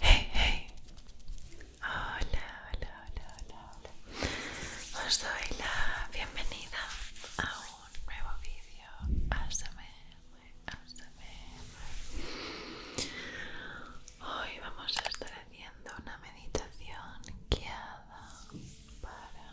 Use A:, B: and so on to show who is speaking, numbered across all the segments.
A: Hey, hey. Hola, hola, hola, hola, Os doy la bienvenida a un nuevo vídeo ASMR, ASMR. Hoy vamos a estar haciendo una meditación guiada para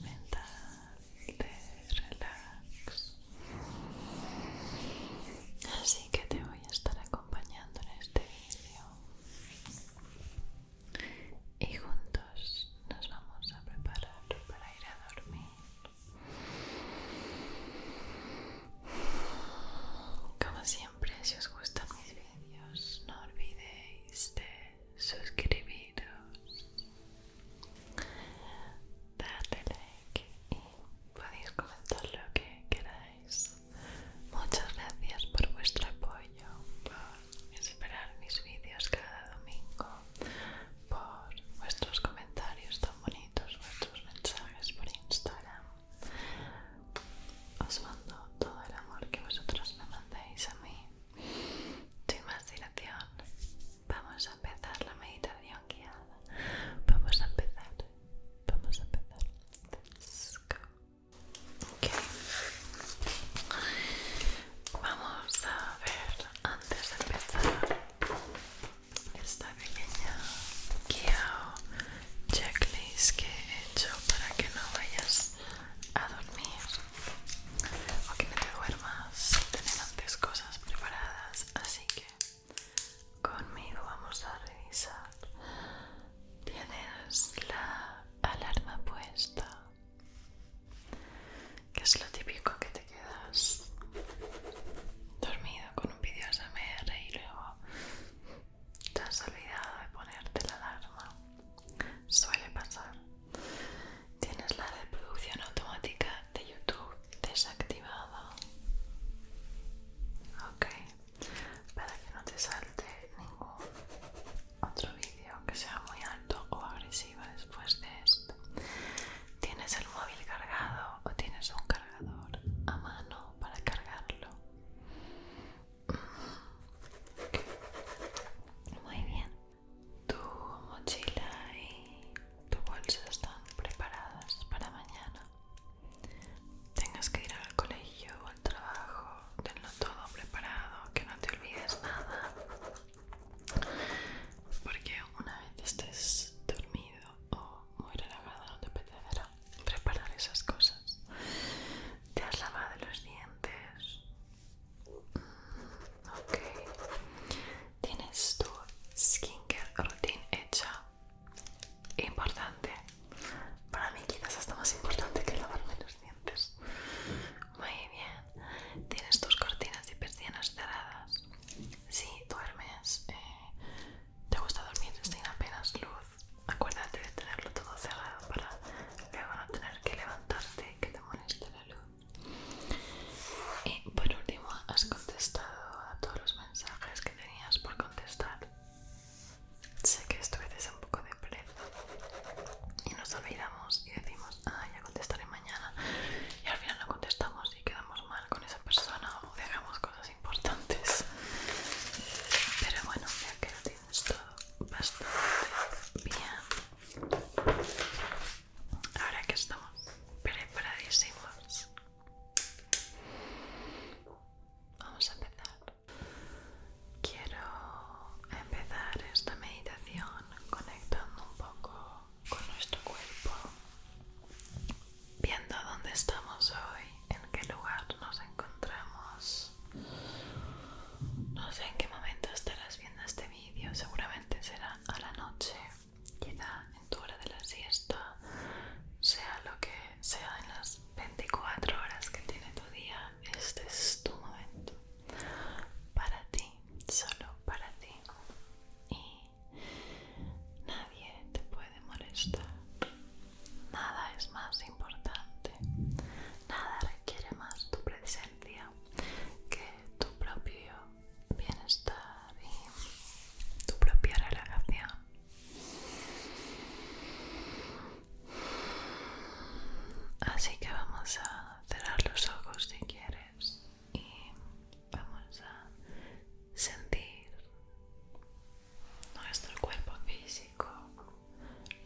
A: mental de relax. Así que te voy a estar acompañando en este vídeo y juntos nos vamos a preparar para ir a dormir. Como siempre, si os gustan mis vídeos, no olvidéis de suscribiros, Dadle like y podéis comentar lo que queráis. Muchas gracias por vuestro apoyo, por esperar mis vídeos cada domingo, por vuestros comentarios tan bonitos, vuestros mensajes por Instagram. Os mando todo el amor que vosotros me mandáis a mí sin más dilación, vamos a empezar la meditación guiada. Vamos a empezar, vamos a empezar. Let's go. Okay. Vamos a ver antes de empezar esta pequeña guía checklist que he hecho para que no vayas a dormir o que no te duermas sin tener antes cosas preparadas. Así que conmigo vamos a revisar. Tienes la alarma puesta, que es lo típico que te quedas dormido con un vídeo ASMR y luego te has olvidado de ponerte la alarma. Suele pasar. Tienes la reproducción automática de YouTube desactivada. Ok. Para que no te salte ningún otro vídeo que sea muy alto o agresivo después de esto. ¿Tienes el móvil cargado o tienes un cargador a mano para cargarlo? Mm. Muy bien. Tu mochila y tu bolsa están preparadas para mañana. Tengas que ir al colegio o al trabajo, tenlo todo preparado, que no te olvides nada. Porque una vez estés dormido o muy relajado no te apetecerá preparar esas cosas. Te has lavado los dientes, Ok. ¿Tienes tu skincare routine hecha? Importante. Para mí quizás hasta más importante que lavarme los dientes. Muy bien. ¿Tienes tus cortinas y persianas cerradas? Si duermes, eh, te gusta dormir sin apenas luz. Acuérdate de tenerlo todo cerrado para luego no tener que levantarte, que te y por último, has contestado a todos los mensajes que tenías por contestar. Sé que esto a veces es un poco de y nos olvidamos y decimos, ah, ya contestaré mañana. Y al final no contestamos y quedamos mal con esa persona o dejamos cosas importantes. Pero bueno, ya que lo tienes todo bastante bien Ahora que estamos preparadísimos, vamos a empezar. Quiero empezar esta meditación conectando un poco con nuestro cuerpo, viendo dónde estamos hoy, en qué lugar nos encontramos no sé en qué momento estarás viendo este vídeo, seguramente será a la noche, quizá en tu hora de la siesta, sea lo que sea en las 24 horas que tiene tu día, este es tu momento. Para ti, solo para ti. Y nadie te puede molestar. Nada es más importante. Nada quiere más tu presencia que tu propio bienestar y tu propia relajación. Así que vamos a cerrar los ojos si quieres y vamos a sentir nuestro cuerpo físico,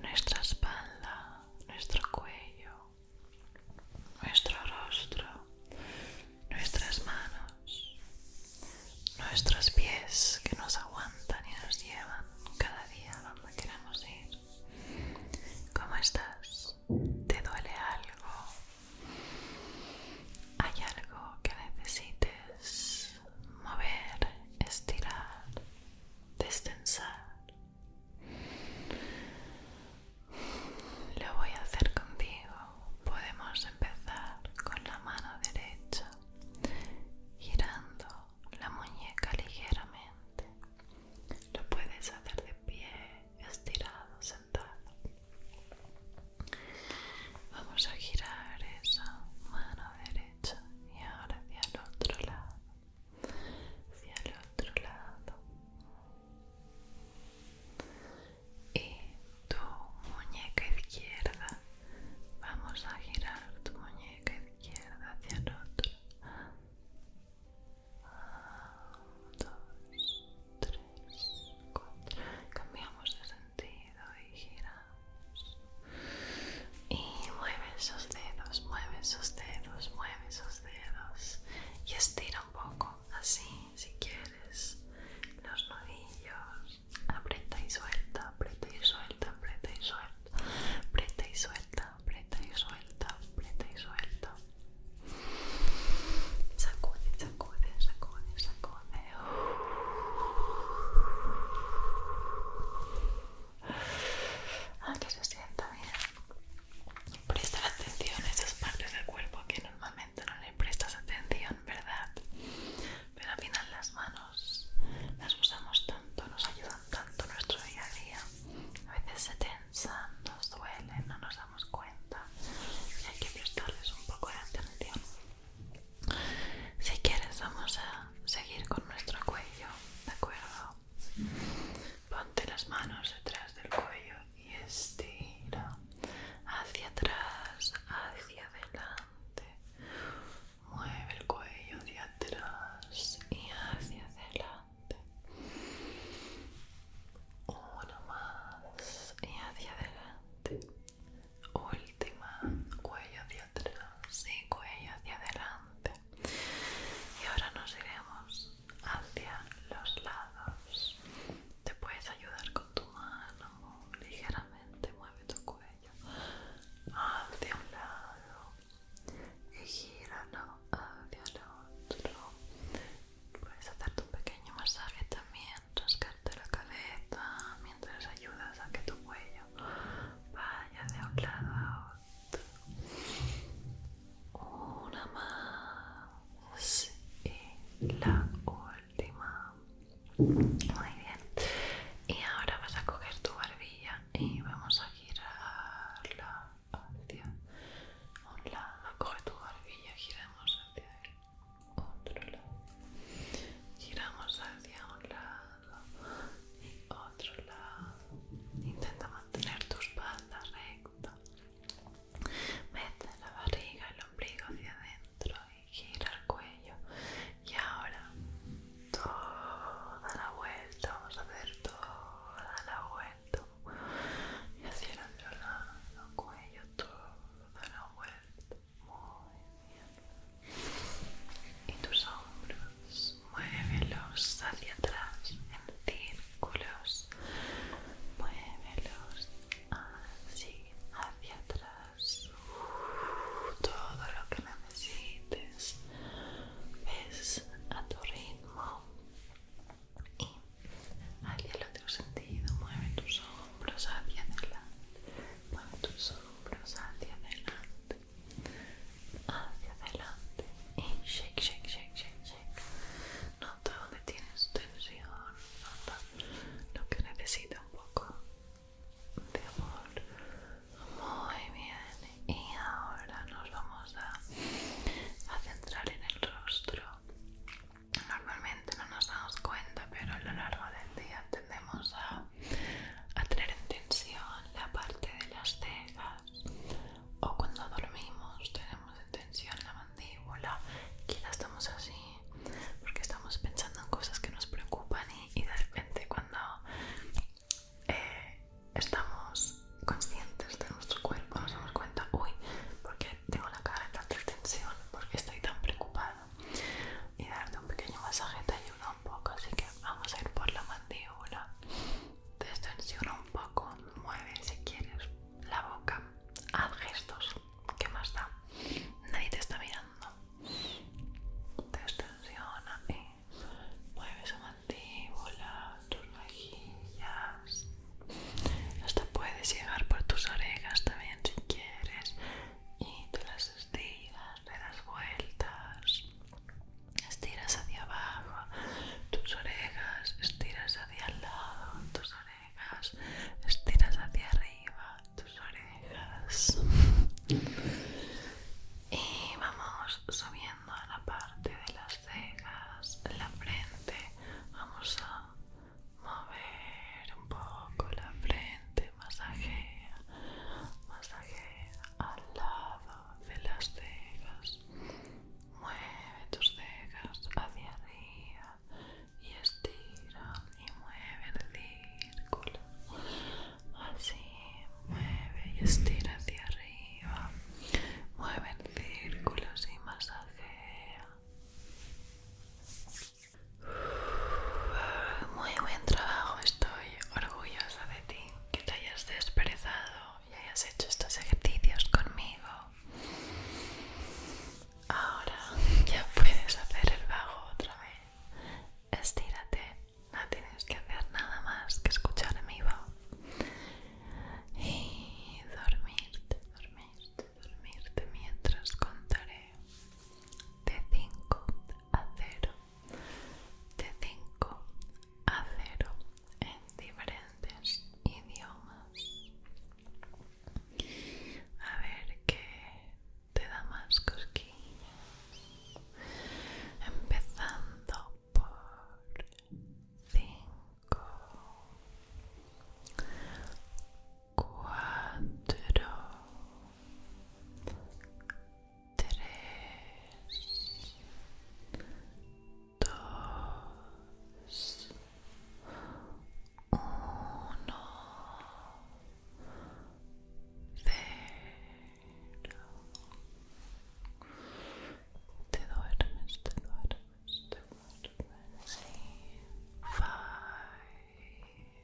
A: nuestra espalda, nuestro cuello, nuestro rostro, nuestras manos, nuestros pies que nos aguantan y nos llevan cada día donde queramos ir. ¿Cómo estás? ¿Te duele algo? ¿Hay algo que necesites mover, estirar? destensar. Lo voy a hacer contigo. Podemos empezar con la mano derecha, girando la muñeca ligeramente. Lo puedes hacer de pie, estirado, sentado. Vamos a girar esa mano derecha y ahora hacia el otro lado hacia el otro lado y tu muñeca izquierda vamos a girar tu muñeca izquierda hacia el otro ah, dos tres cuatro cambiamos de sentido y giramos y mueve sus dedos, mueve sus dedos, mueve sus dedos y estira un poco, así si quieres, los nudillos, aprieta y suelta, aprieta y suelta, aprieta y suelta, aprieta y suelta, aprieta y suelta, aprieta y suelta, sacude, sacude, sacude, sacude. Aunque ah, se sienta bien. Presta atención a esas partes del cuerpo que normalmente no le prestas atención, ¿verdad? Pero al las manos las usamos tanto, nos ayudan tanto en nuestro día a día. A veces se tensan, nos duelen, no nos damos cuenta y hay que prestarles un poco de atención. Si quieres vamos a seguir con nuestro cuello, ¿de acuerdo? Ponte las manos detrás del cuello y estira hacia atrás, hacia adelante. Mueve el cuello hacia atrás y hacia adelante. Una más y hacia adelante última cuello hacia atrás y cuello hacia adelante y ahora nos iremos hacia los lados te puedes ayudar con tu mano ligeramente mueve tu cuello hacia un lado y gíralo hacia el otro puedes hacerte un pequeño masaje también rascarte la cabeza mientras ayudas a que tu cuello vaya de un lado a otro. Una más y la última. Muy bien. Y ahora vas a coger tu barbilla y vamos a girarla hacia un lado. Coge tu barbilla, y giramos hacia el otro lado. Giramos hacia un lado. Y otro lado. Intenta mantener tus espalda rectas Mete la barriga, el ombligo hacia adentro y gira el cuello. Y ahora toda la vuelta, vamos a hacer toda la vuelta. Y hacia el otro lado, cuello, toda la vuelta muy bien. Y tus hombros, muévelos hacia atrás en círculos. Muévelos así, hacia atrás. Uh, todo lo que necesites. Ves a tu ritmo. Y hacia el otro sentido, mueve tus hombros hacia adelante pon tus hombros hacia adelante hacia adelante y shake, shake, shake, shake, shake nota donde tienes tensión nota lo que necesita un poco de amor muy bien y ahora nos vamos a, a centrar en el rostro normalmente no nos damos cuenta pero a lo largo del día tendemos a a tener en tensión la parte de las cejas o cuando dormimos tenemos en tensión la mandíbula quizás estamos así porque estamos pensando en cosas que nos preocupan y, de repente cuando eh, estamos conscientes de nuestro cuerpo nos damos cuenta uy porque tengo la cara en tanta tensión porque estoy tan preocupada y darte un pequeño masaje te ayuda un poco así que vamos a ir por la mandíbula te extensiona un poco mueve si quieres la boca haz gestos ¿qué más da? nadie te está mirando tensiona, y mueve esa mandíbula tus mejillas hasta puedes llegar por tus orejas también si quieres y tú las Estiras, de le das vueltas. Estiras hacia abajo tus orejas, estiras hacia el lado tus orejas, estiras hacia arriba tus orejas. Y vamos subiendo a la parte de las cejas, la frente. Vamos a mover un poco la frente, masajea, masajea al lado de las cejas, mueve tus cejas hacia arriba y estira y mueve en círculos así mueve y estira hacia arriba, mueve en círculos y masajea. Muy buen trabajo, estoy orgullosa de ti, que te hayas desperezado y hayas hecho estos ejercicios conmigo. Ahora ya puedes hacer el bajo otra vez. Estírate, no tienes que hacer nada más que escuchar mi voz. Y dormirte, dormirte dormirte mientras contaré de 5 a 0, de 5 a 0 en diferentes idiomas. A ver qué te da más cosquillas. Empezando por 5. cuatro, tres, dos, uno, cero. Te duermes, te duermes, te duermes. Five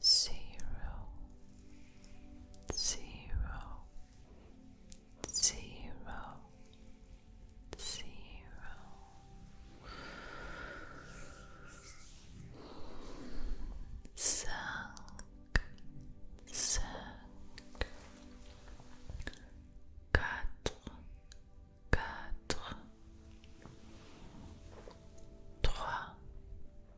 A: Zéro Zéro Zéro Zéro Cinq, cinq, quatre, quatre, trois,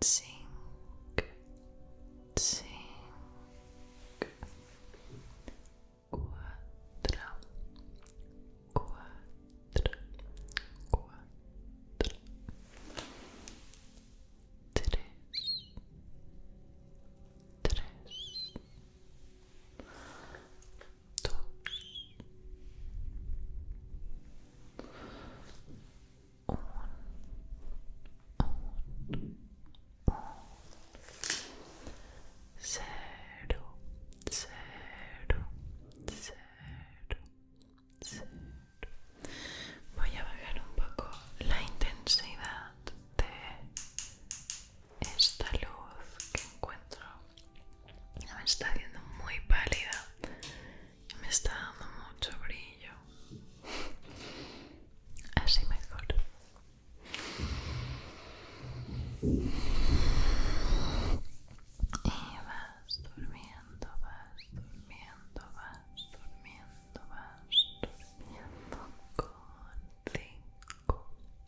A: Cinco, cinco, quatro, quatro, quatro, três, três, cero, cero, cero, cero. Voy a bajar un poco la intensidad de esta luz que encuentro me está haciendo muy pálida me está dando mucho brillo así mejor y vas durmiendo vas durmiendo vas durmiendo vas durmiendo con cinco.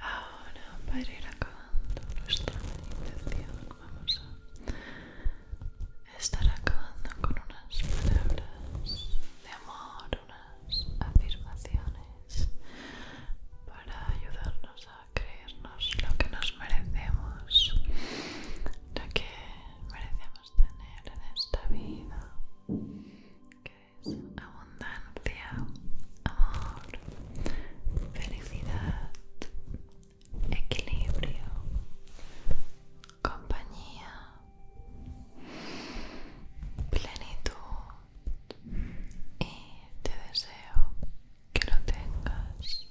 A: Ahora, para ir acabando nuestra meditación, vamos a estar acabando con unas palabras de amor, unas afirmaciones para ayudarnos a creernos lo que nos merecemos, lo que merecemos tener en esta vida, abundancia, amor, felicidad, equilibrio, compañía, plenitud y te deseo que lo tengas,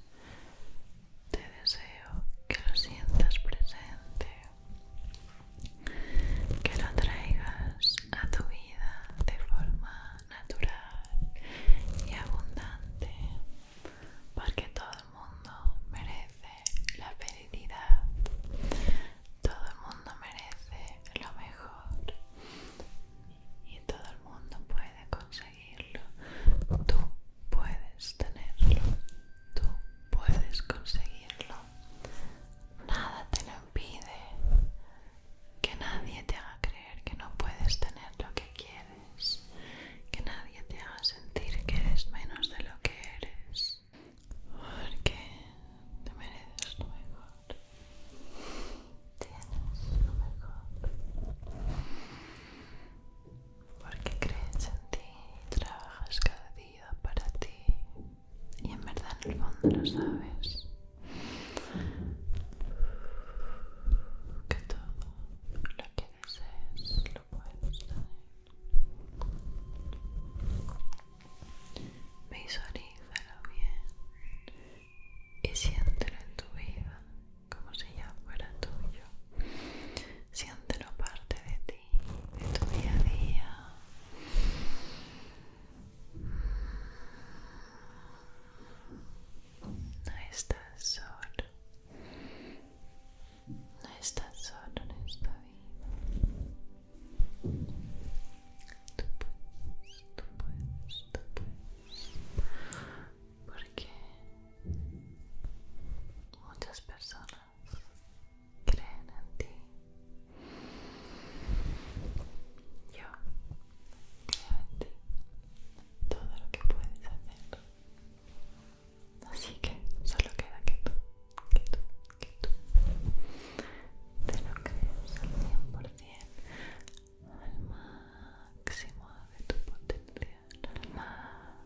A: te deseo que lo sientas presente que lo traigas a tu vida de forma natural y abundante, porque todo el mundo merece la felicidad, todo el mundo merece lo mejor y todo el mundo puede conseguirlo. Tú puedes tenerlo, tú puedes conseguirlo nada te lo impide, que nadie te haga creer que no puedes tener lo que quieres, que nadie te haga sentir que eres menos de lo que eres, porque te mereces lo mejor, tienes lo mejor, porque crees en ti y trabajas cada día para ti y en verdad en el fondo lo sabes que todo lo que desees lo puedes tener visualízalo bien y siéntelo en tu vida como si ya fuera tuyo siéntelo parte de ti de a día. No estás solo, no estás solo en esta vida. Tú puedes, tú puedes, tú puedes. Porque muchas personas creen en ti. Yo creo en ti. Todo lo que puedes hacer. Así que solo queda que tú, que tú, que tú te lo crees al 100%, al máximo de tu potencial,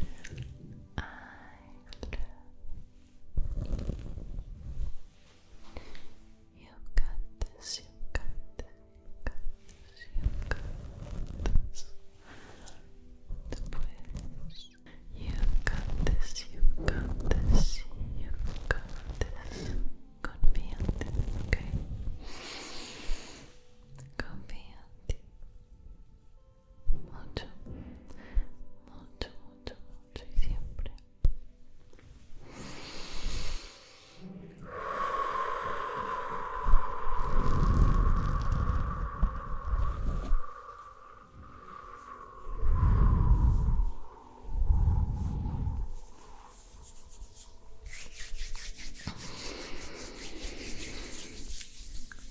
A: and you've got this, you've got this, you've got this, you've got this, you've got this, you've got this, you've got this, confident, okay? confía mucho, mucho, mucho, mucho y siempre.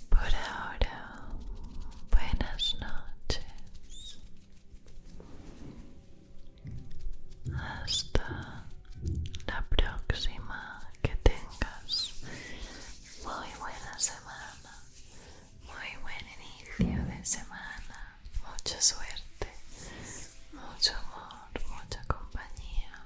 A: Por ahora, buenas noches. Hasta la próxima que tengas. Muy buena semana. Muy buen inicio de semana. Mucha suerte. Mucho amor, mucha compañía.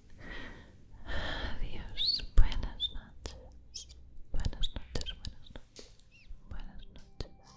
A: Adiós, buenas noches, buenas noches, buenas noches, buenas noches, adiós.